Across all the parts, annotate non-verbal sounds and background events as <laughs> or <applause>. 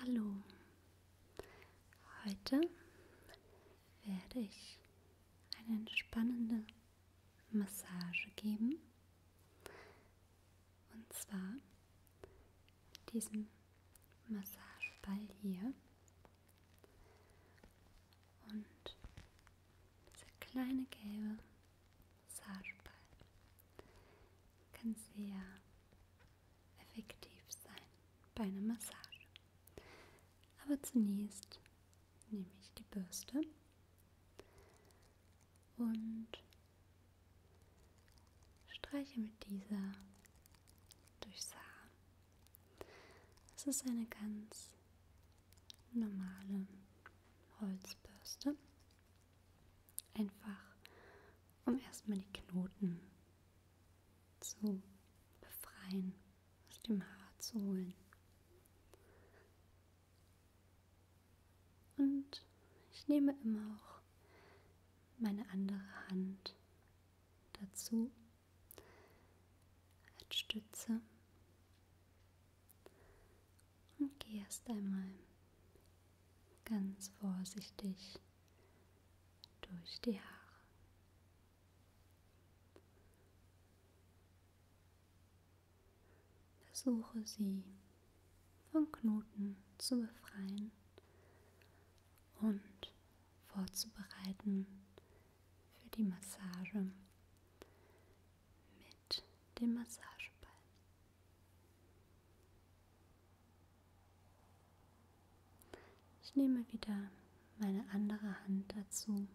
Hallo, heute werde ich eine entspannende Massage geben und zwar mit diesem Massageball hier und diese kleine gelbe Sarpa kann sehr effektiv sein bei einer Massage. Aber zunächst nehme ich die Bürste und streiche mit dieser durchs Haar. Es ist eine ganz normale Holzbürste. Einfach um erstmal die Knoten zu befreien, aus dem Haar zu holen. Und ich nehme immer auch meine andere Hand dazu als Stütze und geh erst einmal ganz vorsichtig durch die Haare. Versuche sie von Knoten zu befreien und vorzubereiten für die Massage, mit dem Massageball. Ich nehme wieder meine andere Hand dazu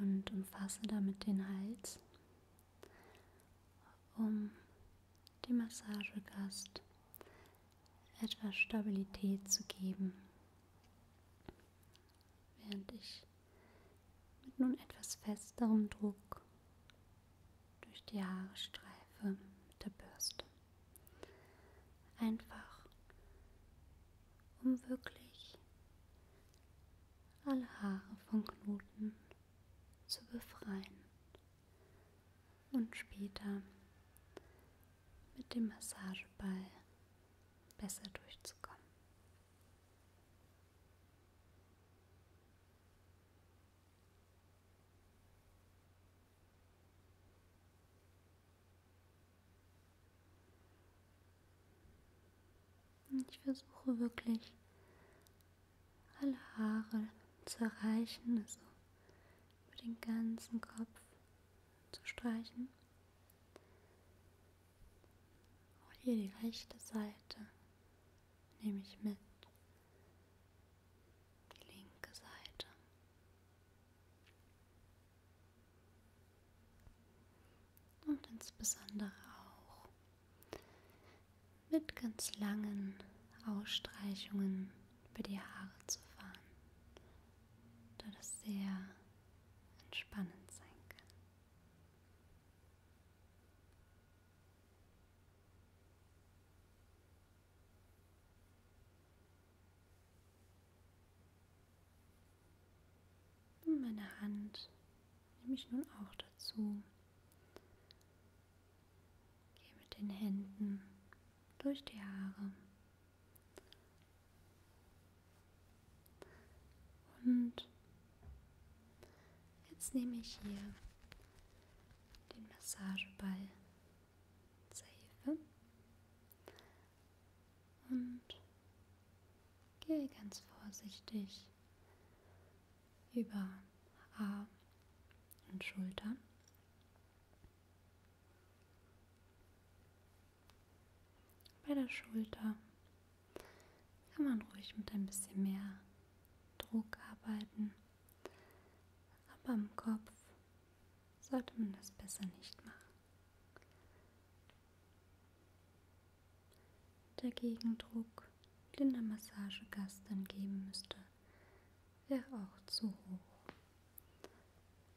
und umfasse damit den Hals, um dem Massagegast etwas Stabilität zu geben während ich mit nun etwas festerem Druck durch die Haare streife mit der Bürste. Einfach, um wirklich alle Haare von Knoten zu befreien und später mit dem Massageball besser durchzukommen. Ich versuche wirklich alle Haare zu erreichen, also über den ganzen Kopf zu streichen. Auch hier die rechte Seite nehme ich mit. Die linke Seite. Und insbesondere auch mit ganz langen Ausstreichungen über die Haare zu fahren, da das sehr entspannend sein kann. Und meine Hand nehme ich nun auch dazu. Gehe mit den Händen durch die Haare und jetzt nehme ich hier den Massageball zur Hilfe und gehe ganz vorsichtig über Haar und Schultern bei der Schulter kann man ruhig mit ein bisschen mehr Druck arbeiten, aber am Kopf sollte man das besser nicht machen. Der Gegendruck, den der Massagegast dann geben müsste, wäre auch zu hoch.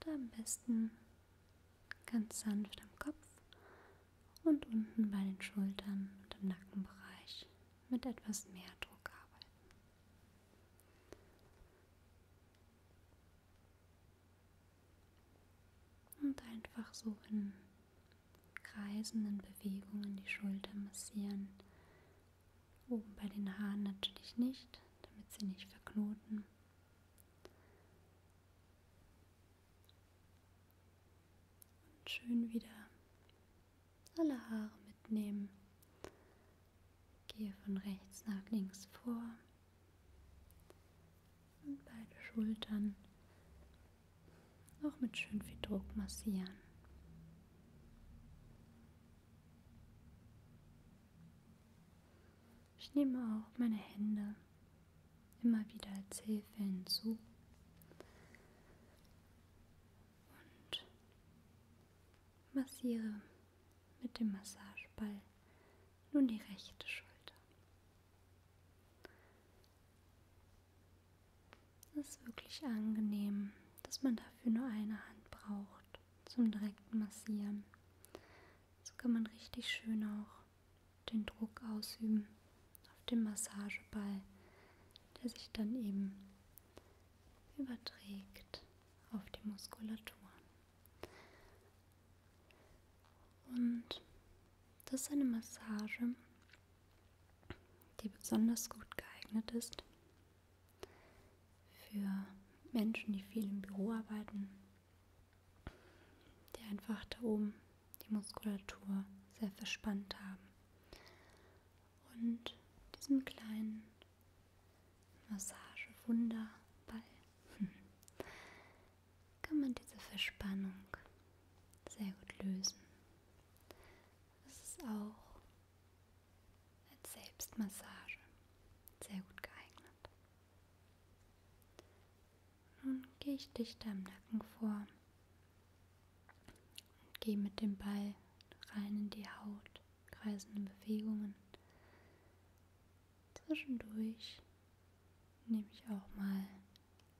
Und am besten ganz sanft am Kopf und unten bei den Schultern und im Nackenbereich mit etwas mehr Druck arbeiten. Und einfach so in kreisenden Bewegungen die Schulter massieren. Oben bei den Haaren natürlich nicht, damit sie nicht verknoten. Und schön wieder alle Haare mitnehmen. Gehe von rechts nach links vor und beide Schultern auch mit schön viel Druck massieren. Ich nehme auch meine Hände immer wieder als Hilfe hinzu. Und massiere mit dem Massageball nun die rechte Schulter. Es ist wirklich angenehm, dass man dafür nur eine Hand braucht zum direkten Massieren. So kann man richtig schön auch den Druck ausüben auf den Massageball, der sich dann eben überträgt auf die Muskulatur. Und das ist eine Massage, die besonders gut geeignet ist, für Menschen, die viel im Büro arbeiten, die einfach da oben die Muskulatur sehr verspannt haben. Und diesem kleinen Massagewunderball <laughs> kann man diese Verspannung sehr gut lösen. Es ist auch als Selbstmassage sehr gut geeignet. Nun gehe ich dichter am Nacken vor und gehe mit dem Ball rein in die Haut, kreisende Bewegungen. Zwischendurch nehme ich auch mal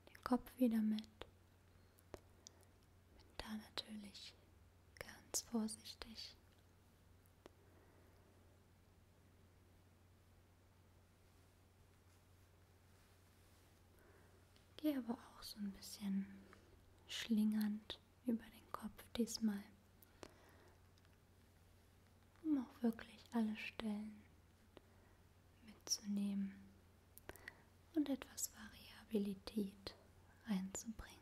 den Kopf wieder mit. Bin da natürlich ganz vorsichtig Gehe aber auch so ein bisschen schlingernd über den Kopf diesmal, um auch wirklich alle Stellen mitzunehmen und etwas Variabilität einzubringen.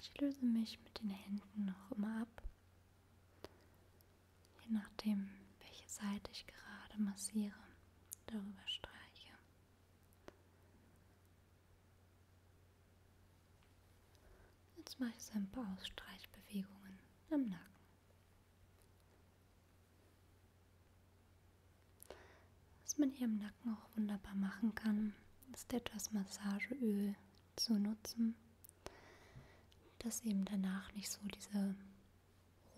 Ich löse mich mit den Händen noch immer ab, je nachdem, welche Seite ich gerade massiere, darüber streiche. Jetzt mache ich so ein paar Ausstreichbewegungen am Nacken. Was man hier im Nacken auch wunderbar machen kann, ist etwas Massageöl zu nutzen, dass eben danach nicht so diese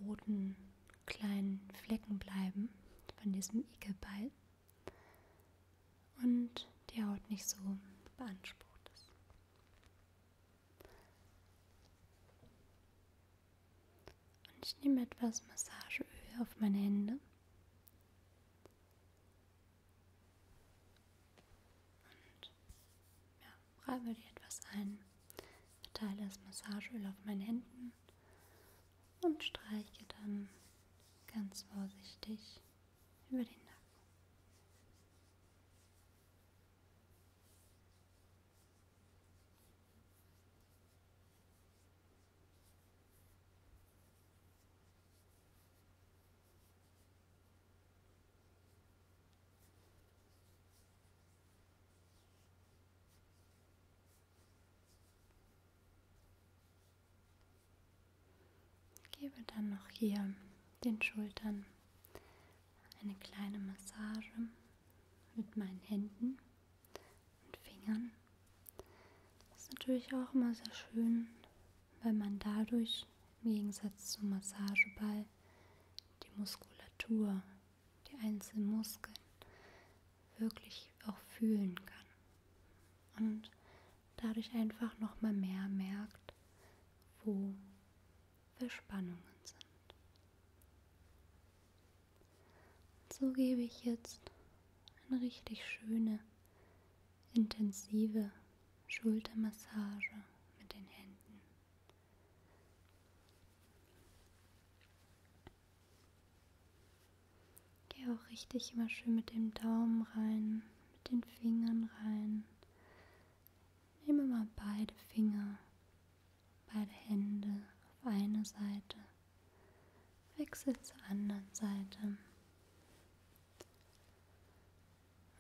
roten kleinen Flecken bleiben von diesem Igelball und die Haut nicht so beansprucht ist. Und ich nehme etwas Massageöl auf meine Hände. und ja, Reibe die etwas ein, verteile das Massageöl auf meinen Händen und streiche dann ganz vorsichtig über den Nacken. Gebe dann noch hier den Schultern eine kleine Massage mit meinen Händen und Fingern. Das ist natürlich auch immer sehr schön, weil man dadurch im Gegensatz zum Massageball die Muskulatur die einzelnen Muskeln wirklich auch fühlen kann. Und dadurch einfach nochmal mehr merkt, wo Verspannungen sind. Und so gebe ich jetzt eine richtig schöne, intensive Schultermassage mit den Händen Geh auch richtig immer schön mit dem Daumen rein, mit den Fingern rein. Nehme mal beide Finger, beide Hände auf eine Seite, wechsel zur anderen Seite.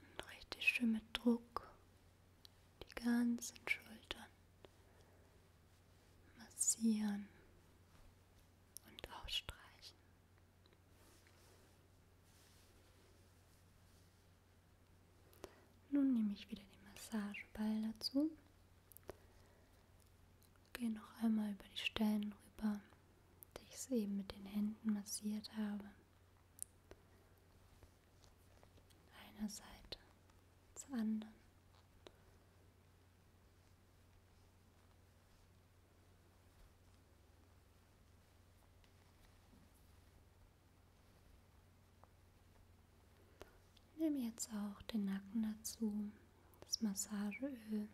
Und richtig schön mit Druck die ganzen Schultern massieren und ausstreichen. Nun nehme ich wieder den Massageball dazu. Gehe noch einmal über die Stellen rüber, die ich soeben mit den Händen massiert habe einer Seite zur anderen. Nimm jetzt auch den Nacken dazu. Das Massageöl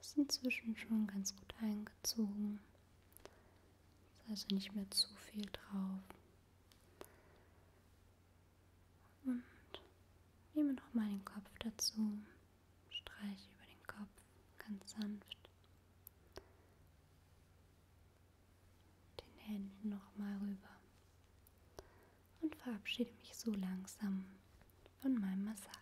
ist inzwischen schon ganz gut eingezogen. Ist also nicht mehr zu viel drauf. Und nehme nochmal den Kopf dazu, streiche über den Kopf ganz sanft. Den Händen nochmal rüber. Und verabschiede mich so langsam von meinem Massagegast.